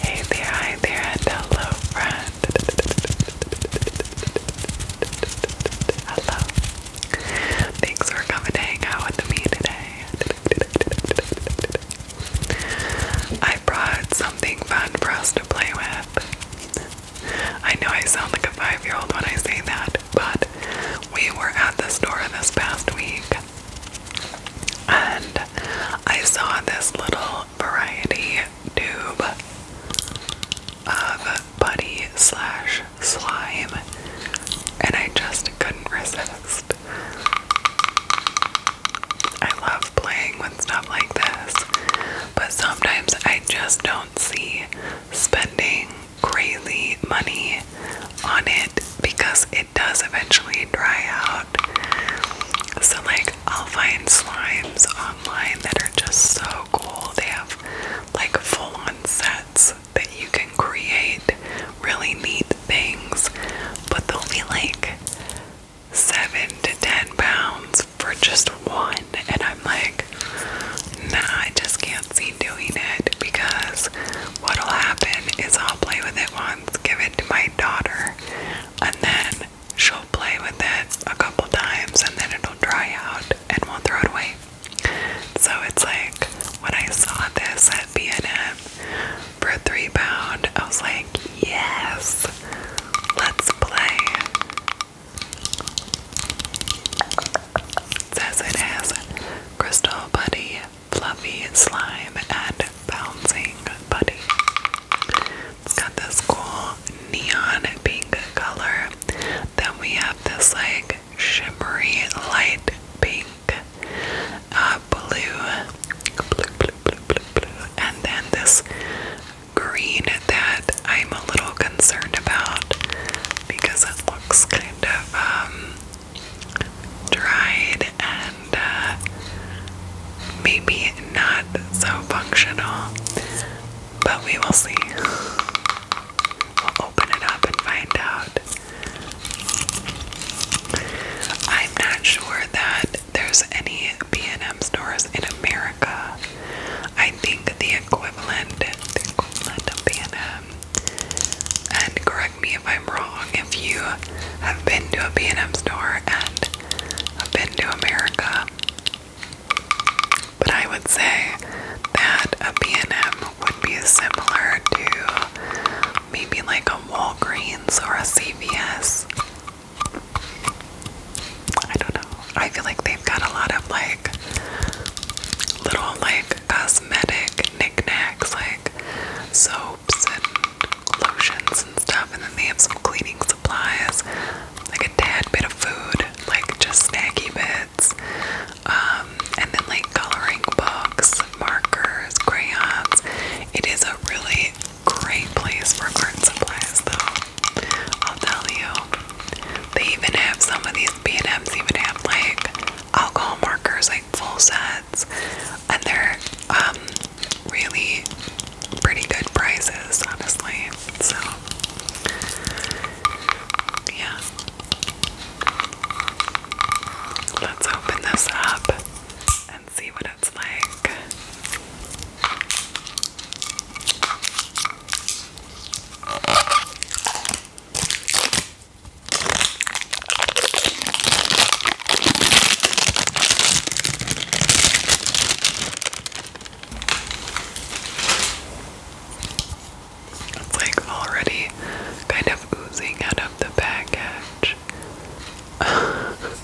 Hey there, there, hello, friend. Hello. Thanks for coming out with me today. I brought something fun for us to play with. I know I sound like a five year old when I say that, but we were at the store this past week and I saw this little variety tube of putty slime and I just couldn't resist. I love playing with stuff like this, but sometimes I just don't see spending crazy money on it because it does eventually dry out. So, like, I'll find slimes online that are just so cool. They have like full on sets that you can create really neat things, but they'll be like seven to ten pounds for just one, and I'm like, nah, I just can't see doing it because what'll happen is I'll play with it once, give it to my daughter, and then she'll play with it a couple times, and then it'll dry out and we'll throw it away. So it's like when I saw this at B&M for three pound, I was like, yes, let's play. Says it has Crystal Buddy, Fluffy Slime, and Bouncing Buddy. It's got this cool neon pink color. Then we have this like shimmery light pink, uh, blue, blue, blue, blue, blue, blue, and then this green that I'm a little concerned about because it looks kind of um, dried and uh, maybe not so functional. But we will see. We'll open it up and find out. I'm not sure that there's any B&M stores in America I think the equivalent, the equivalent of B&M, um, and correct me if I'm wrong, if you have been to a B&M store and have been to America, but I would say that a B&M would be similar to maybe like a Walgreens or a CVS I don't know. I feel like they've got a lot of like little like cosmetic knickknacks, like soaps and lotions and stuff, and then they have some cleaning supplies, like a tad bit of food, like just snacky bits, um, and then like coloring books, markers, crayons. It is a really great place for art supplies, though. I'll tell you. They even have some of these B&Ms even have like alcohol markers, like full sets, and they're um, really pretty good prices, honestly. So yeah. Let's open this up and see what it's like. It's like already kind of oozing out of the package.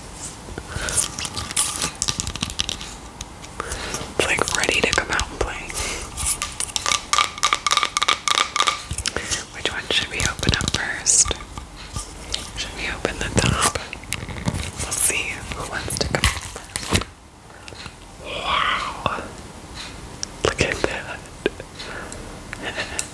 It's like ready to come out and play. Which one should we open up first? Should we open the top? We'll see who wants to come first. Wow! Look at that.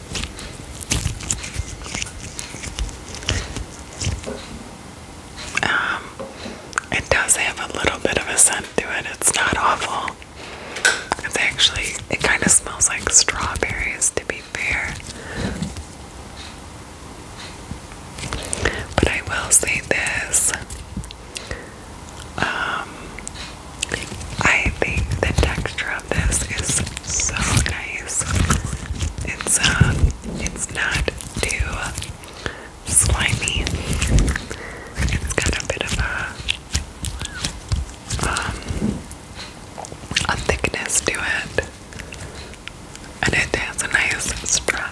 Um, it does have a little bit of a scent to it. It's not awful. It's actually, it kind of smells like strawberries to be fair. But I will say this. Um, I think the texture of this is so nice. It's uh, it's not too slimy. It's got a bit of a um a thickness to it, and it has a nice stretch.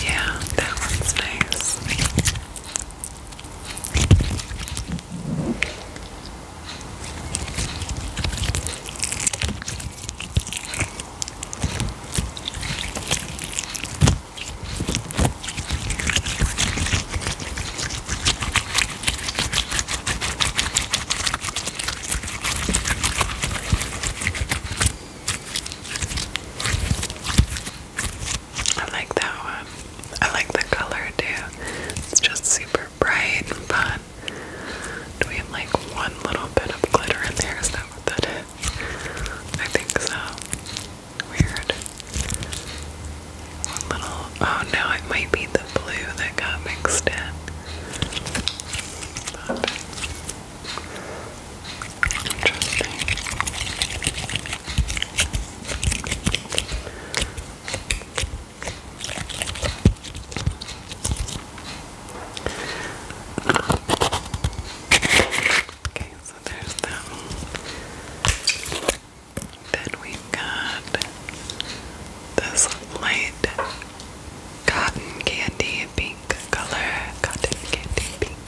Yeah, that one's nice. I like that one. I like the color too. It's just super bright and fun. Do we have like one little bit of glitter in there? Is that what that I think so. Weird. little. Oh no, it might be the blue that got mixed in. interesting. Okay, so there's them. Then we've got this light cotton candy pink color. Cotton candy pink.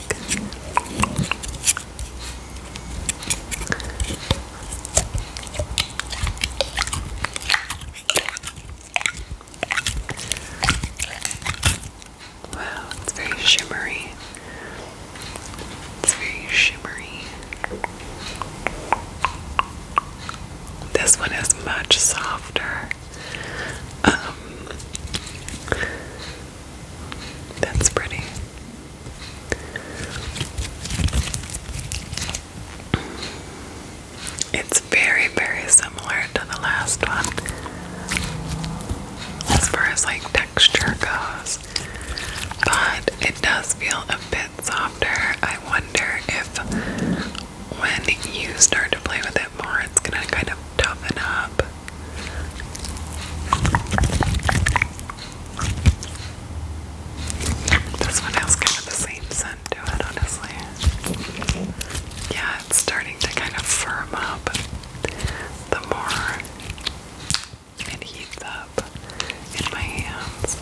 Wow, it's very shimmery. It's very shimmery. This one is much softer. Um, that's pretty. It's very, very similar to the last one as far as like texture goes, but it does feel a bit softer. I wonder if when you start to play with it more, it's gonna kind of toughen up. This one has kind of the same listen it, honestly. Yeah, it's starting to kind of firm up the more it heats up in my hands.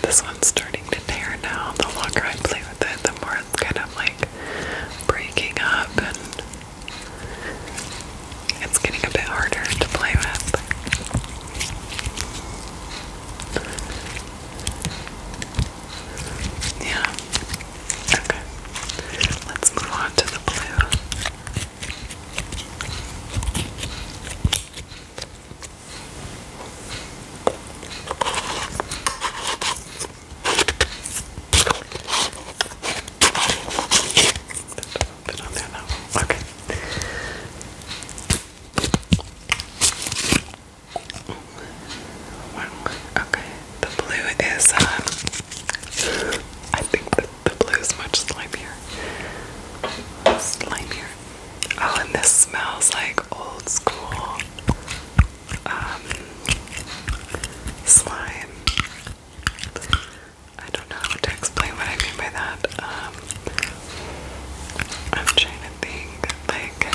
This one's starting to tear now. The longer I play with it, the more it's kind of like breaking up, and it's getting a bit harder to play with. Yeah. Okay. Let's move on to the blue. Bit on there now. Okay. Wow. Okay. The blue is, um, I think the, blue is much slimier. Slimier. Oh, and this smells like old school um, slime. I don't know how to explain what I mean by that. Um, I'm trying thing. Like,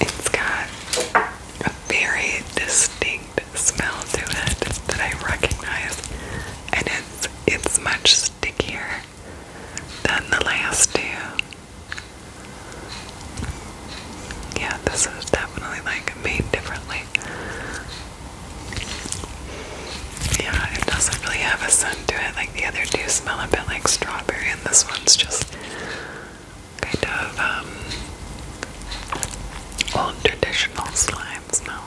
it's got a very distinct smell to it that I recognize, and it's it's much stickier than the last two. Yeah, this is definitely like made differently. Yeah, it doesn't really have a scent to it. Like the other two smell a bit like strawberry, and this one's just kind of um, old traditional slime smell.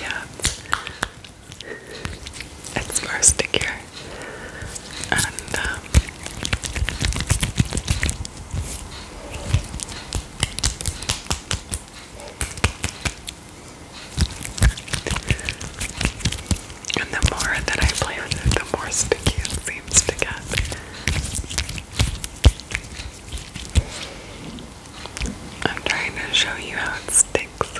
Yeah, it's more stickier, um, and the more that I play with it, the more sticky it seems to get. I'm trying to show you how it sticks.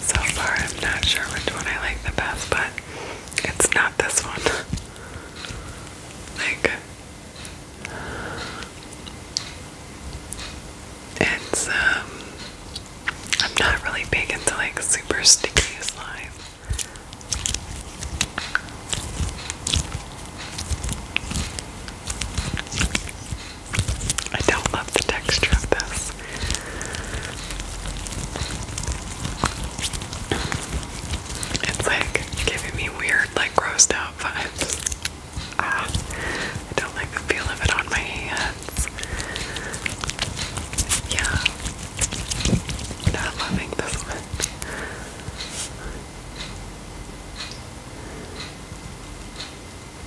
So far, I'm not sure which one I like the best, but it's not this one. Like, it's, um, I'm not really big into like super sticky slime. I don't love the texture of this. It's like giving me weird, like grossed out vibes. Ah, I don't like the feel of it on my hands. Yeah. Not loving this one.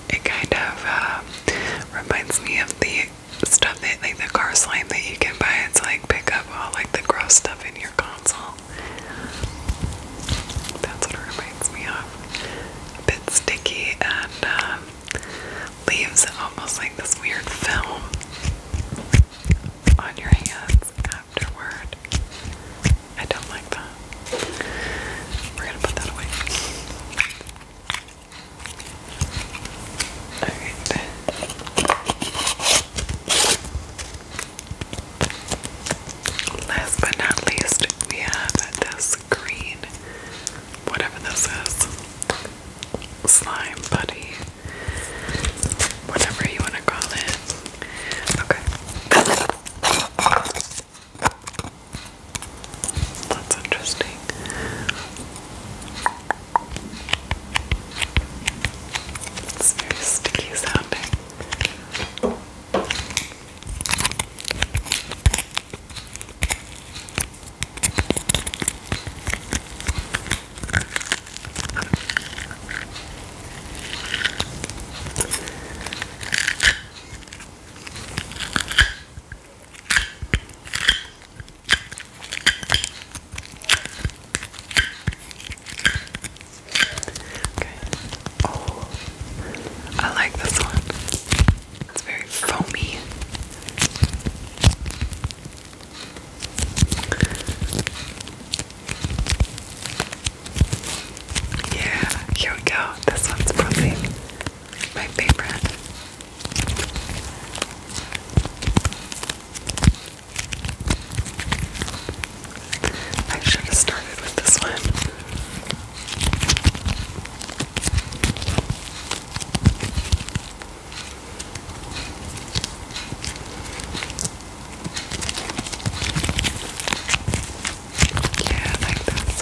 It kind of uh, reminds me of the stuff that like the car slime that you can buy. It's like pick up all like the gross stuff in your console. That's what reminds me of. bit sticky and um, leaves almost like this weird film on your hands afterward. I don't like that. We're gonna put that away. Last but not least, we have this green, whatever this is, slime buddy, whatever you want to call it. Okay. That's interesting. It's very sticky sounding. Okay. Oh, I like this one. It's very foamy. Yeah, here we go. This one's probably my favorite. I should have started with this one. Yeah, like this.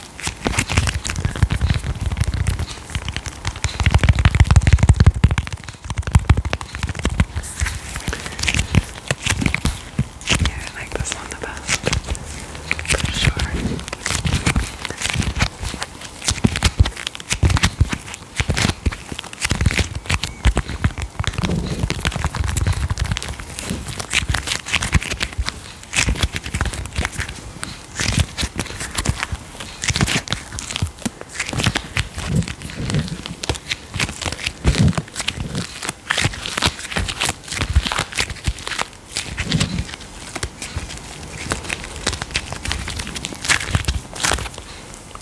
Yeah, I like this one the best. For sure.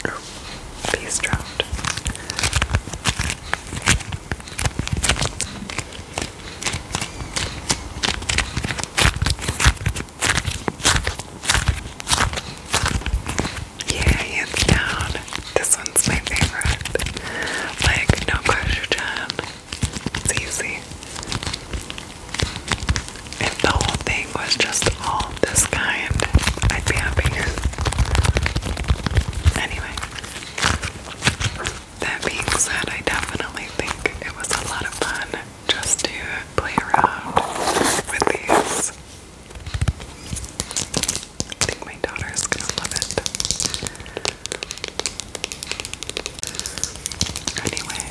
Oh, these dropped. Yeah, hands down. This one's my favorite. Like, no question. It's easy. If the whole thing was just all this kind, I'd be happy. Anyway, that being said, I definitely think it was a lot of fun just to play around with these. I think my daughter's gonna love it. Anyway,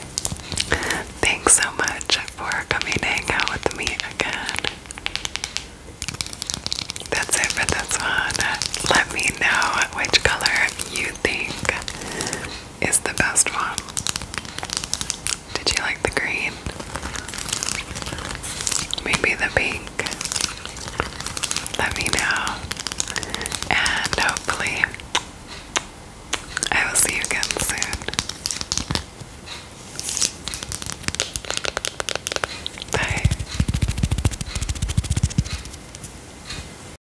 thanks so much for coming to hang out with me again. That's it for this one. Let me know which color you think is the best one. Did you like the green? Maybe the pink? Let me know. And hopefully, I will see you again soon. Bye.